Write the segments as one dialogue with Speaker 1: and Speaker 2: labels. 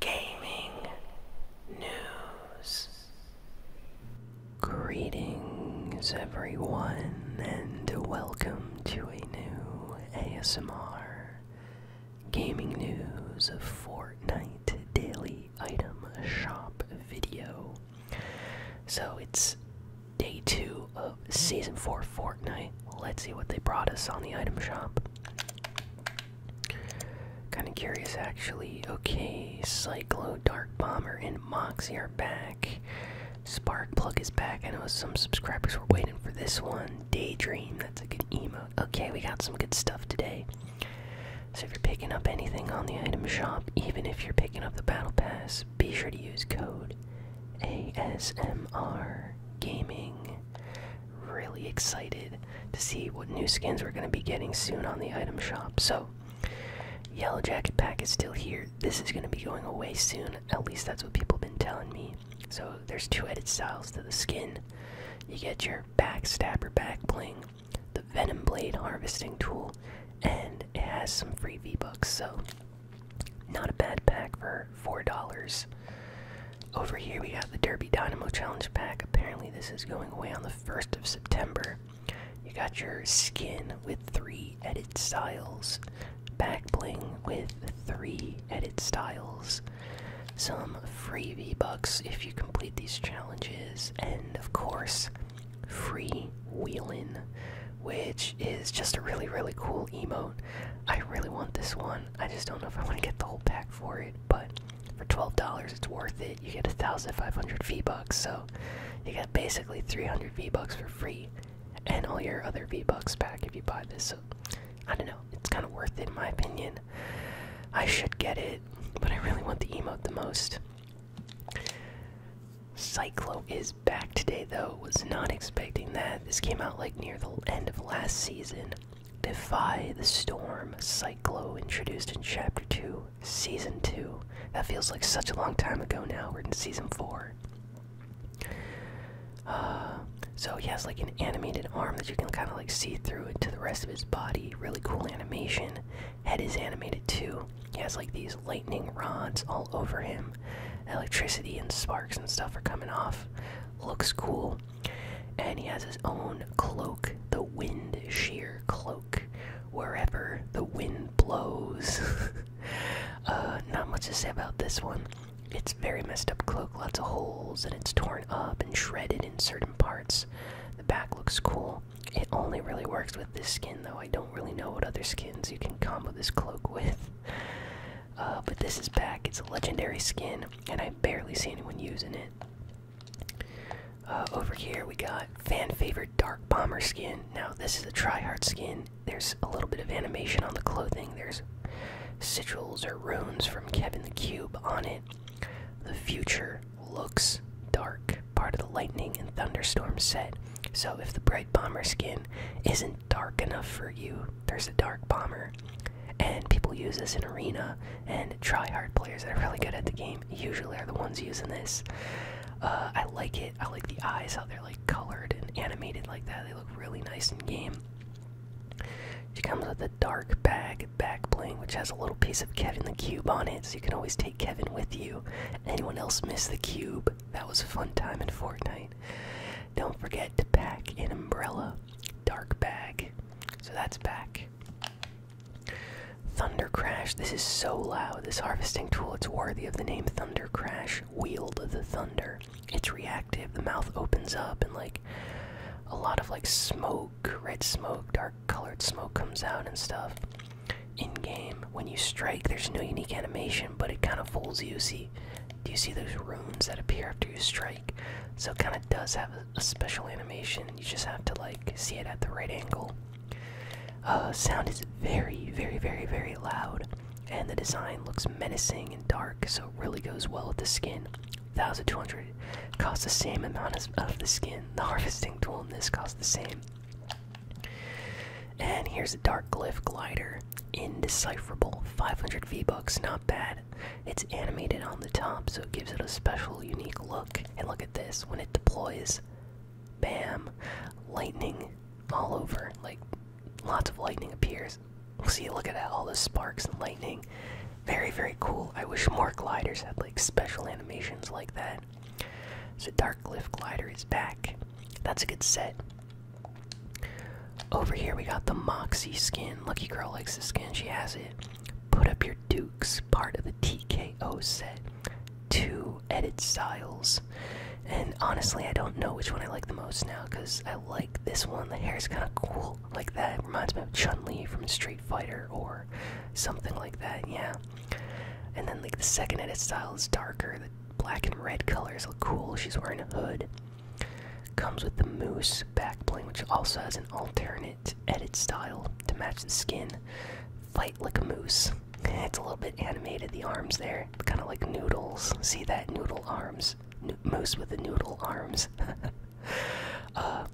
Speaker 1: gaming news. Greetings, everyone, and welcome to a new ASMR gaming news Fortnite daily item shop video. So it's day two of season four Fortnite. Let's see what they brought us on the item shop. Kind of curious, actually. Okay, Cyclo, Dark Bomber, and Moxie are back. Sparkplug is back. I know some subscribers were waiting for this one. Daydream, that's a good emo. Okay, we got some good stuff today. So if you're picking up anything on the item shop, even if you're picking up the battle pass, be sure to use code ASMR Gaming really excited to see what new skins we're going to be getting soon on the item shop. So, Yellow Jacket Pack is still here. This is going to be going away soon. At least that's what people have been telling me. So, there's two edit styles to the skin. You get your back stabber back bling, the venom blade harvesting tool, and it has some free V-Bucks. So, not a bad pack for $4. Over here, we have the Derby Dynamo Challenge Pack. Apparently, this is going away on the 1st of September. You got your skin with three edit styles, back bling with three edit styles, some free V-Bucks if you complete these challenges, and of course, free wheelin', which is just a really, really cool emote. I really want this one. I just don't know if I want to get the whole pack for it, but for $12 it's worth it you get a 1500 v bucks so you get basically 300 v bucks for free and all your other v bucks back if you buy this so i don't know it's kind of worth it in my opinion i should get it but i really want the emote the most cyclo is back today though was not expecting that this came out like near the end of last season Defy the Storm Cyclo, introduced in Chapter 2, Season 2. That feels like such a long time ago now. We're in Season 4. Uh, so he has like an animated arm that you can kind of like see through into the rest of his body. Really cool animation. Head is animated too. He has like these lightning rods all over him. Electricity and sparks and stuff are coming off. Looks cool. And he has his own cloak, the Wind Shear Cloak. Wherever the wind blows. Uh, not much to say about this one. It's very messed up cloak, lots of holes, and it's torn up and shredded in certain parts. The back looks cool. It only really works with this skin, though. I don't really know what other skins you can combo this cloak with. Uh, but this is back. It's a legendary skin, and I barely see anyone using it. Uh, over here we got fan favorite Dark Bomber skin. Now this is a tryhard skin. There's a little bit of animation on the clothing. There's sigils or runes from Kevin the Cube on it. The future looks dark, part of the lightning and thunderstorm set. So if the bright bomber skin isn't dark enough for you, there's a dark bomber. And people use this in arena, and tryhard players that are really good at the game usually are the ones using this. Uh, I like it. I like the eyes, how they're like colored and animated like that. They look really nice in game. She comes with a dark bag back bling, which has a little piece of Kevin the Cube on it, so you can always take Kevin with you. Anyone else miss the cube? That was a fun time in Fortnite. Don't forget to pack an umbrella. Dark bag. So that's back. Thunder Crash. This is so loud. This harvesting tool, it's worthy of the name Thunder Crash. Wield the thunder. It's reactive. The mouth opens up and like a lot of like smoke, red smoke, dark colored smoke comes out and stuff. In game, when you strike, there's no unique animation, but it kind of fools you. See, do you see those runes that appear after you strike? So it kind of does have a special animation. You just have to like see it at the right angle. Uh, sound is very, very, very, very loud, and the design looks menacing and dark, so it really goes well with the skin. 1200 costs the same amount as of the skin. The harvesting tool in this costs the same. And here's a dark glyph glider, indecipherable. 500 V bucks, not bad. It's animated on the top, so it gives it a special, unique look. And look at this when it deploys, bam, lightning all over. Like, lots of lightning appears. We'll See, look at all the sparks and lightning. Very, very cool. I wish more gliders had like special animations like that. So, Dark Glyph Glider is back. That's a good set. Over here, we got the Moxie skin. Lucky Girl likes the skin, she has it. Put Up Your Dukes, part of the TKO set. Two edit styles. And honestly, I don't know which one I like the most now because I like this one. The hair is kind of cool like that. reminds me of Chun Li from Street Fighter or something like that, yeah. And then, like, the second edit style is darker. The black and red colors look cool. She's wearing a hood. Comes with the moose backbling, which also has an alternate edit style to match the skin. Fight like a moose. It's a little bit animated, the arms there. Kind of like noodles. See that? Noodle arms. moose with the noodle arms. Uh,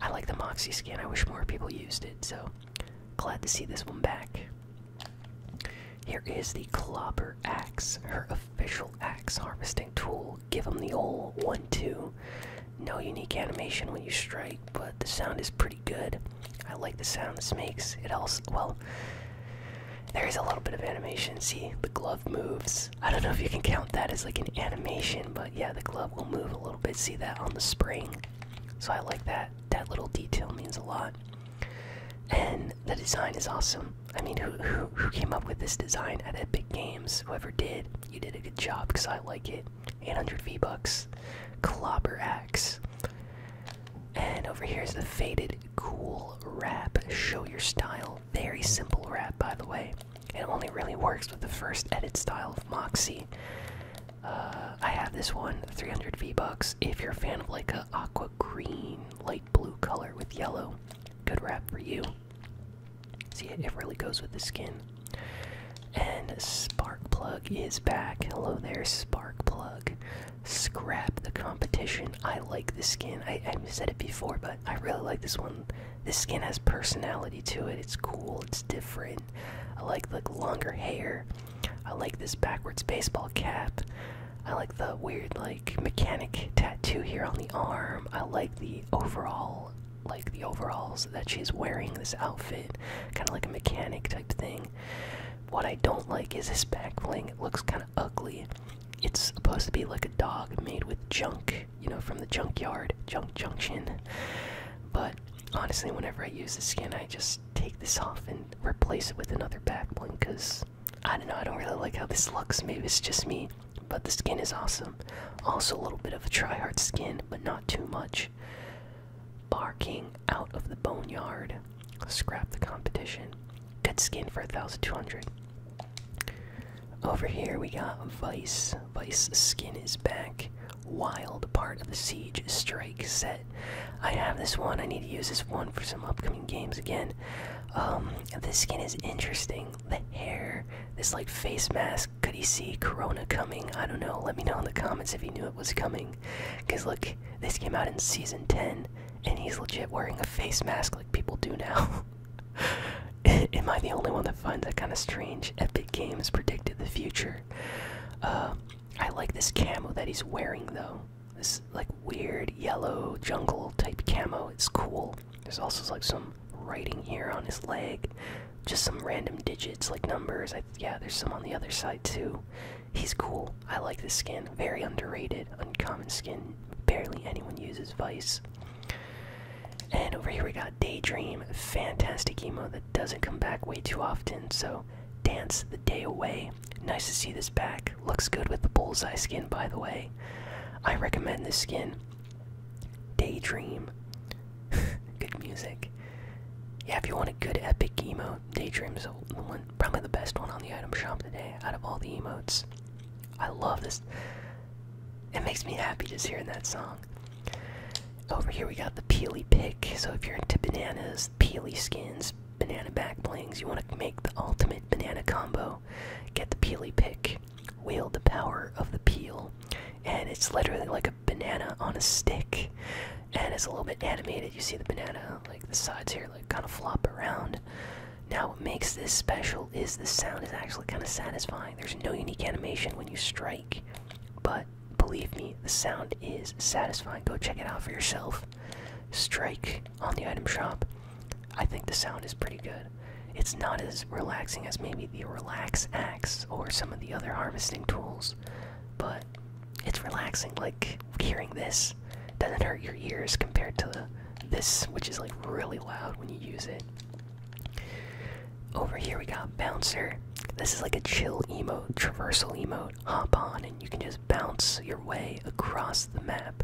Speaker 1: I like the Moxie skin. I wish more people used it, so glad to see this one back. Here is the Clobber Axe, her official axe harvesting tool. Give them the old one, two. No unique animation when you strike, but the sound is pretty good. I like the sound this makes. It also, well, there is a little bit of animation. See, the glove moves. I don't know if you can count that as like an animation, but yeah, the glove will move a little bit. See that on the spring? So I like that. That little detail means a lot. And the design is awesome. I mean, who, who, who came up with this design at Epic Games? Whoever did, you did a good job because I like it. 800 V bucks. Clobber axe. And over here is the faded cool wrap. Show your style. Very simple wrap, by the way. It only really works with the first edit style of Moxie. Uh, I have this one, 300 V bucks. If you're a fan of like a aqua green, light blue color with yellow, good wrap for you. See, it really goes with the skin. And Spark Plug is back. Hello there, Spark Plug. Scrap the competition. I like this skin. I said it before, but I really like this one. This skin has personality to it. It's cool. It's different. I like the longer hair. I like this backwards baseball cap. I like the weird like mechanic tattoo here on the arm. I like the overall like the overalls that she's wearing this outfit kind of like a mechanic type thing what i don't like is this back bling it looks kind of ugly it's supposed to be like a dog made with junk you know from the junkyard junk junction but honestly whenever i use the skin i just take this off and replace it with another back bling because i don't know i don't really like how this looks maybe it's just me but the skin is awesome. Also, a little bit of a tryhard skin, but not too much. Barking out of the boneyard. Scrap the competition. Good skin for 1200. Over here we got Vice. Vice skin is back. Wild part of the Siege Strike set. I have this one. I need to use this one for some upcoming games again. Um, this skin is interesting the hair, this like face mask. Could he see Corona coming? I don't know. Let me know in the comments if he knew it was coming. Because look, this came out in season 10, and he's legit wearing a face mask like people do now. Am I the only one that finds that kind of strange? Epic Games predicted the future. Uh, I like this camo that he's wearing though. This like weird yellow jungle type camo. It's cool. There's also like some writing here on his leg, just some random digits like numbers. I, yeah, there's some on the other side too. He's cool. I like this skin. Very underrated, uncommon skin. Barely anyone uses Vice. And over here we got Daydream, fantastic emo that doesn't come back way too often. So, Dance the Day Away. Nice to see this back. Looks good with the bullseye skin, by the way. I recommend this skin. Daydream. good music. Yeah, if you want a good epic emo, Daydream's is probably the best one on the item shop today out of all the emotes. I love this. It makes me happy just hearing that song. Over here we got the Peely Pick. So if you're into bananas, Peely skins, banana back blings, you want to make the ultimate banana combo, get the Peely Pick wield the power of the peel, and it's literally like a banana on a stick, and it's a little bit animated. You see the banana, like the sides here, like kind of flop around. Now, what makes this special is the sound is actually kind of satisfying. There's no unique animation when you strike, but believe me, the sound is satisfying. Go check it out for yourself. Strike on the item shop. I think the sound is pretty good. It's not as relaxing as maybe the relax axe or some of the other harvesting tools, but it's relaxing. Like hearing this doesn't hurt your ears compared to this, which is like really loud when you use it. Over here we got bouncer. This is like a chill emote, traversal emote. Hop on and you can just bounce your way across the map.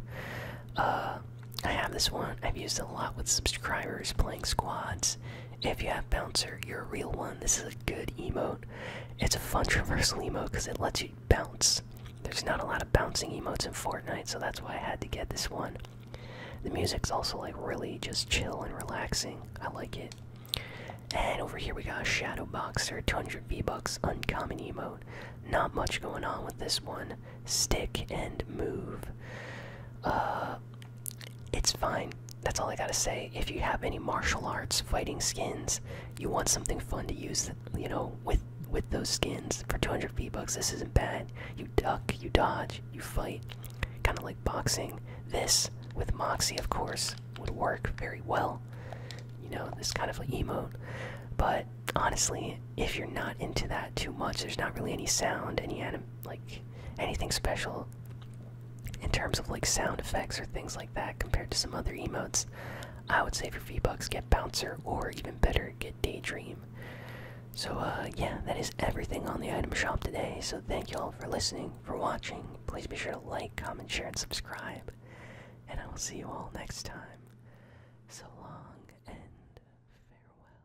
Speaker 1: Uh, I have this one. I've used a lot with subscribers playing squads, if you have Bouncer, you're a real one. This is a good emote. It's a fun traversal emote because it lets you bounce. There's not a lot of bouncing emotes in Fortnite, so that's why I had to get this one. The music's also like really just chill and relaxing. I like it. And over here we got a Shadow Boxer, 200 V-Bucks, uncommon emote. Not much going on with this one. Stick and move. Uh, it's fine. That's all I gotta say. If you have any martial arts fighting skins, you want something fun to use, you know, with with those skins for 200 fee bucks, this isn't bad. You duck, you dodge, you fight, kind of like boxing. This with Moxie, of course, would work very well. You know, this kind of like emote. But honestly, if you're not into that too much, there's not really any sound, any anim like anything special in terms of like sound effects or things like that compared to some other emotes. I would say for V-Bucks, get Bouncer, or even better, get Daydream. So, uh, yeah, that is everything on the item shop today. So, thank you all for listening, for watching. Please be sure to like, comment, share, and subscribe. And I will see you all next time. So long and farewell.